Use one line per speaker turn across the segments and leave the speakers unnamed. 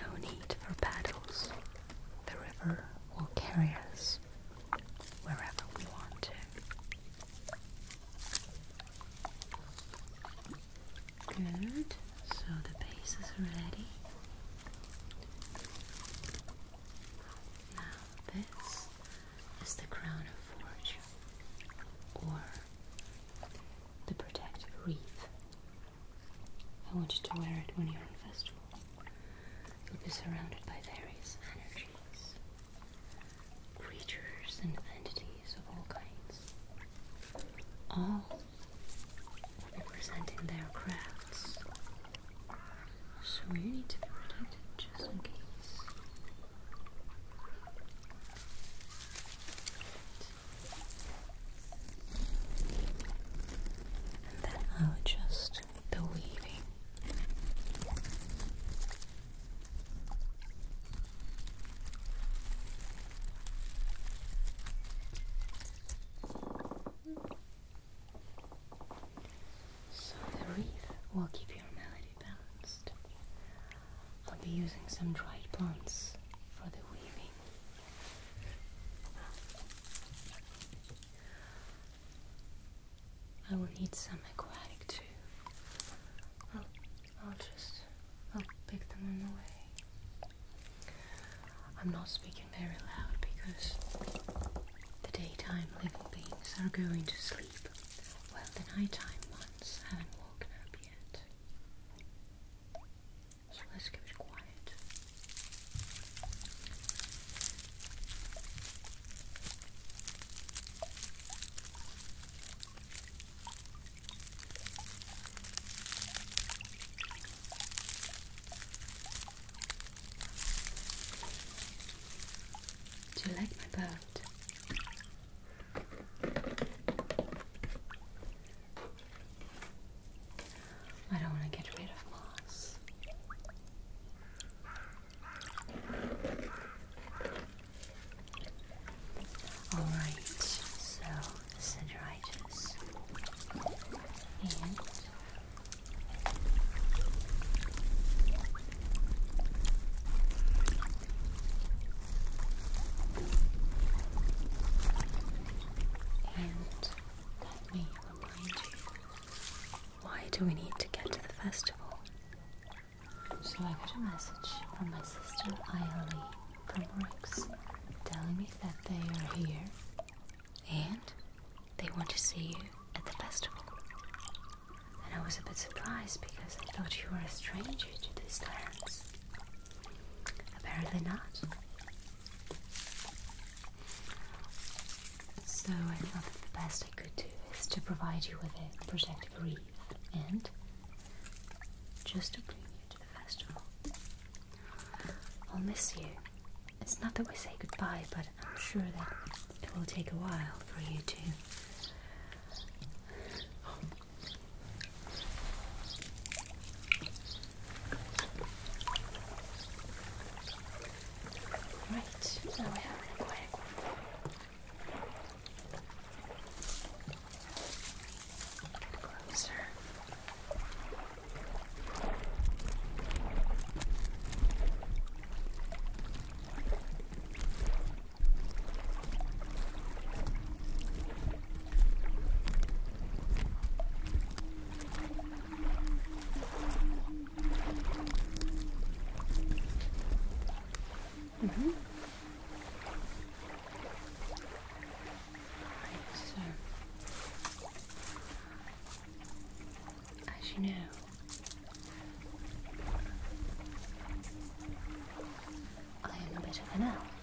No need for paddles. The river will carry us wherever we want to. Good. So the base is ready. Now, this is the crown of fortune or the protective wreath. I want you to wear it when you're on festival. You'll be surrounded by various energies, creatures, and entities of all kinds. All will be presenting their crafts so we need to be protected just in case. And then I'll adjust the weaving. So the wreath will keep your melody balanced. I'll be using some dried plants for the weaving. I will need some aquatic too. I'll, I'll just I'll pick them on the way. I'm not speaking speaking very loud because the daytime living beings are going to sleep, while the nighttime ones haven't woken up yet. So let's keep it quiet. Good. Do you like my boat? I don't want to get rid of moss. Alright, so the center and let me remind you why do we need to get to the festival? So I got a message from my sister Ailey from Rex telling me that they are here and they want to see you at the festival. And I was a bit surprised because I thought you were a stranger to these lands. Apparently not. So I thought the best I could do is to provide you with a protective wreath and just to bring you to the festival. I'll miss you. It's not that we say goodbye, but I'm sure that it will take a while for you to. Right, now we have an aquarium. Come closer. Mm -hmm as you know, I am a bit of an elf,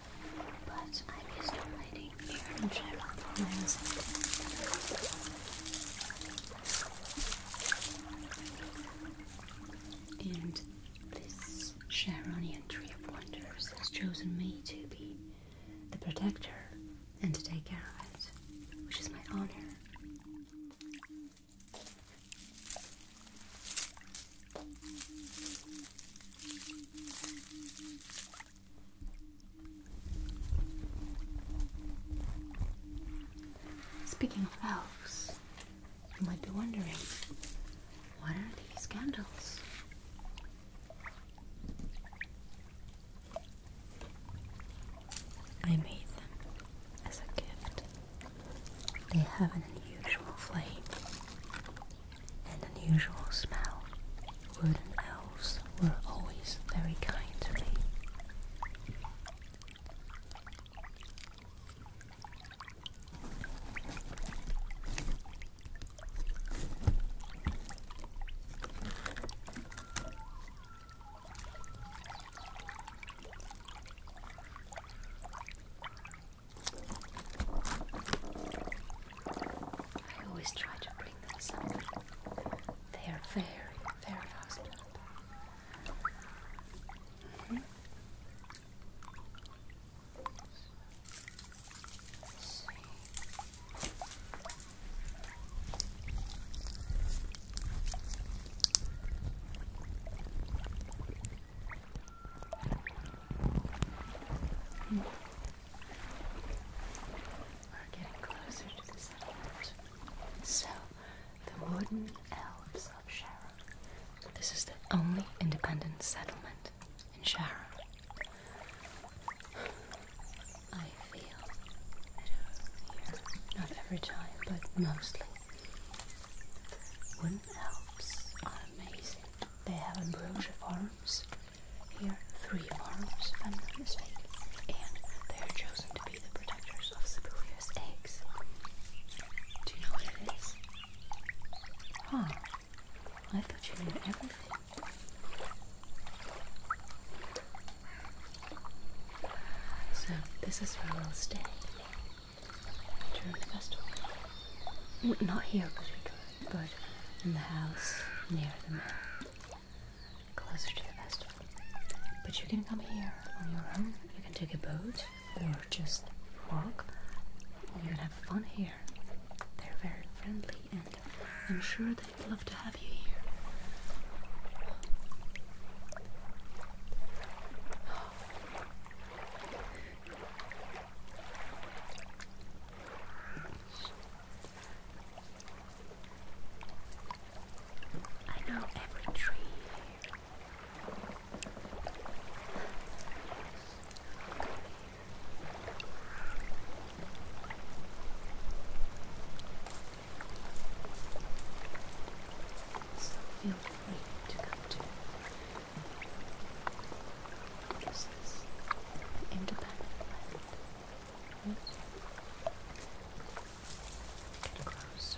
but I'm used to hiding here in Sherlock And this Sharonian Tree of Wonders has chosen me to be the protector, and to take care of it, which is my honor. Speaking of elves, you might be wondering what are these candles? I made them as a gift. They have an unusual flame and unusual smell. Wooden elves were always very kind I always try to bring them something. They are very, very hospitable. Mm-hmm. We're getting closer to the settlement. So, the wooden elves of Sharon. This is the only independent settlement and Shara, I feel it over here, not every time, but mostly. Wooden elves are amazing. They have ambrosia farms here, three farms, if I'm not mistaken, and they are chosen to be the protectors of Sibelius eggs. Do you know what it is? Huh. I thought you knew everything. So, this is where we'll stay. During the festival. not here, but, but in the house near the mill. Closer to the festival. But you can come here on your own. You can take a boat or just walk. You can have fun here. They're very friendly and I'm sure they'd love to have you here. I know every tree here. So feel free to come to this is independent land. Yes. Get closer.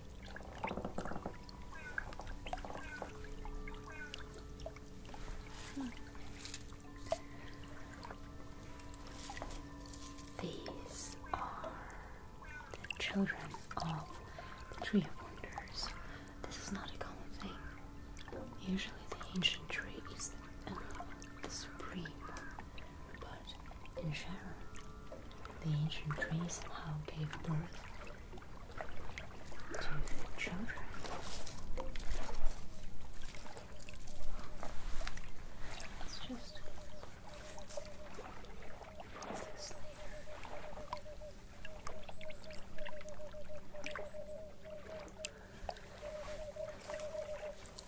These are the children of the Tree of Wonders. This is not a common thing. Usually, the ancient tree is the um, supreme but in Sharon, the ancient trees somehow gave birth to children. It's just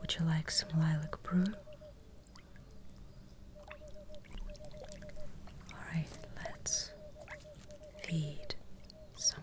Would you like some lilac brew? Alright, let's feed someone.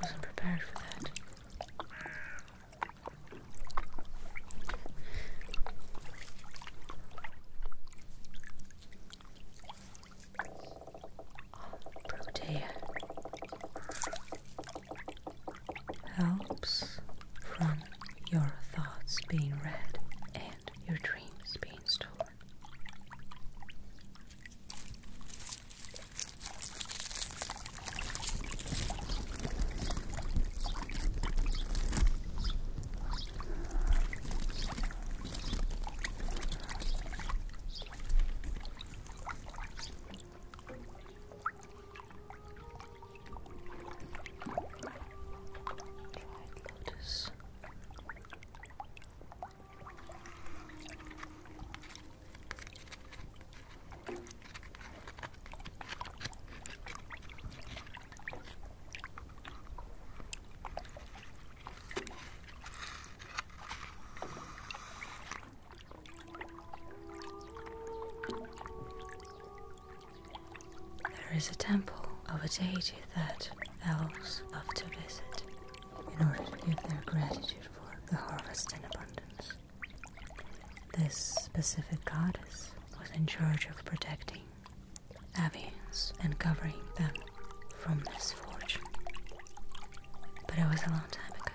Wasn't prepared for that. Protea helps from your thoughts being read and your dreams being stolen lotus. There is a temple of a deity that elves love to visit in order to give their gratitude for the harvest in abundance. This specific goddess was in charge of protecting Avians and covering them from misfortune. But it was a long time ago.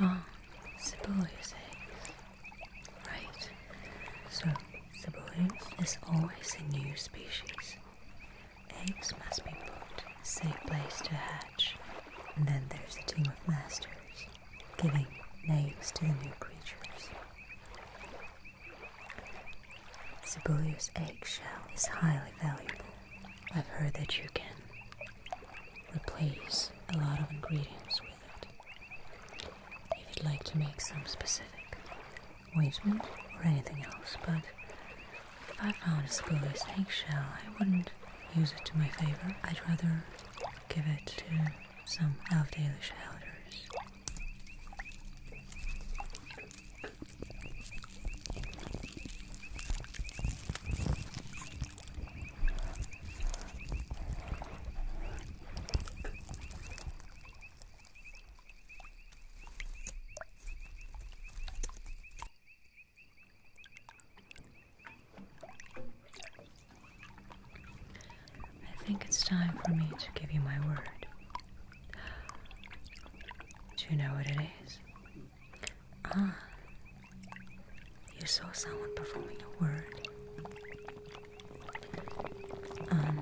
Ah, Sibelius eggs. Right. So, Sibelius is always a new species. Eggs must be put in a safe place to hatch. And then there's a team of masters giving names to the new creatures. Sibelius eggshell is highly valuable. I've heard that you can replace a lot of ingredients with it. If you'd like to make some specific ointment or anything else, but if I found a Sibelius eggshell, I wouldn't use it to my favor. I'd rather give it to some Elfdalish elders. I think it's time for me to give you my word do you know what it is? Ah, you saw someone performing a word. Um,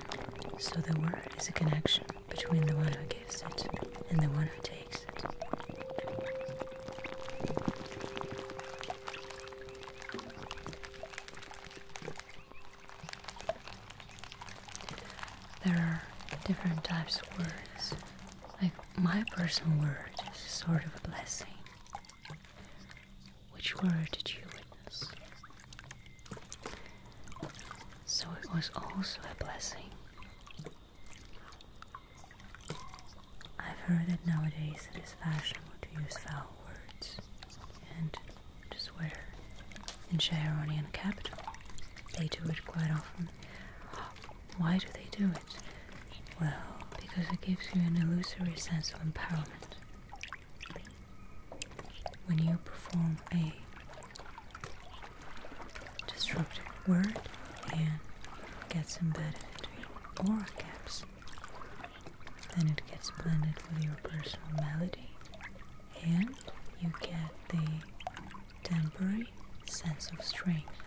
so the word is a connection between the one who gives it and the one who takes it. There are different types of words. Like my personal word is sort of a blessing. Which word did you witness? So it was also a blessing. I've heard that nowadays it is fashionable to use foul words, and to swear in Sharonian capital. They do it quite often. Why do they do it? Well, because it gives you an illusory sense of empowerment. When you perform a disruptive word and gets embedded into your aura caps, then it gets blended with your personal melody and you get the temporary sense of strength.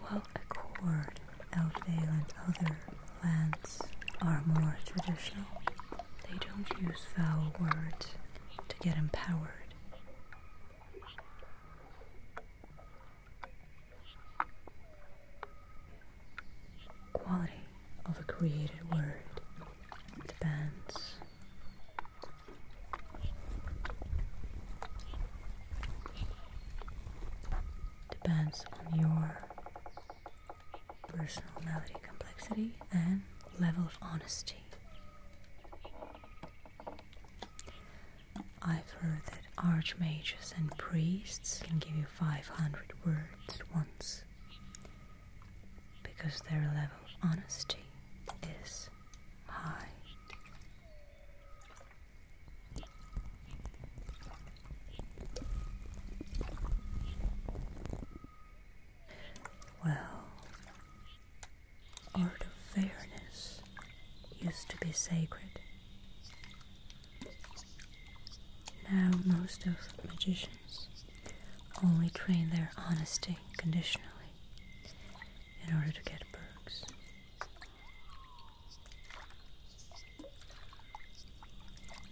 While a chord, Elfdale and other lands are more traditional, they don't use foul words to get empowered quality of a created word depends depends on your personality complexity and level of honesty. I've heard that archmages and priests can give you 500 words at once because their level of honesty is high. Well, art of fairness used to be sacred. Now, most of magicians only train their honesty conditionally in order to get perks.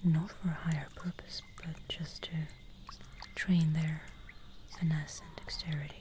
Not for a higher purpose, but just to train their finesse and dexterity.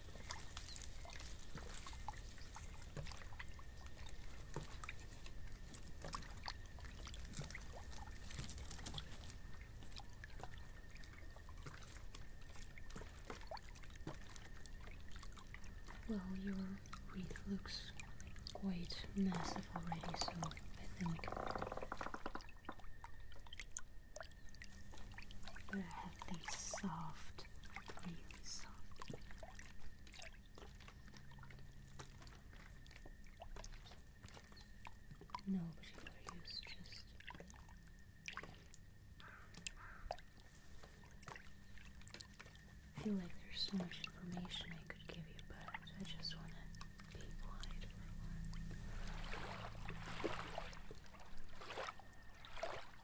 Well, your wreath looks quite massive already, so I think but soft, really soft. No particular use, just feel like there's so much information I could give you, but I just want to be quiet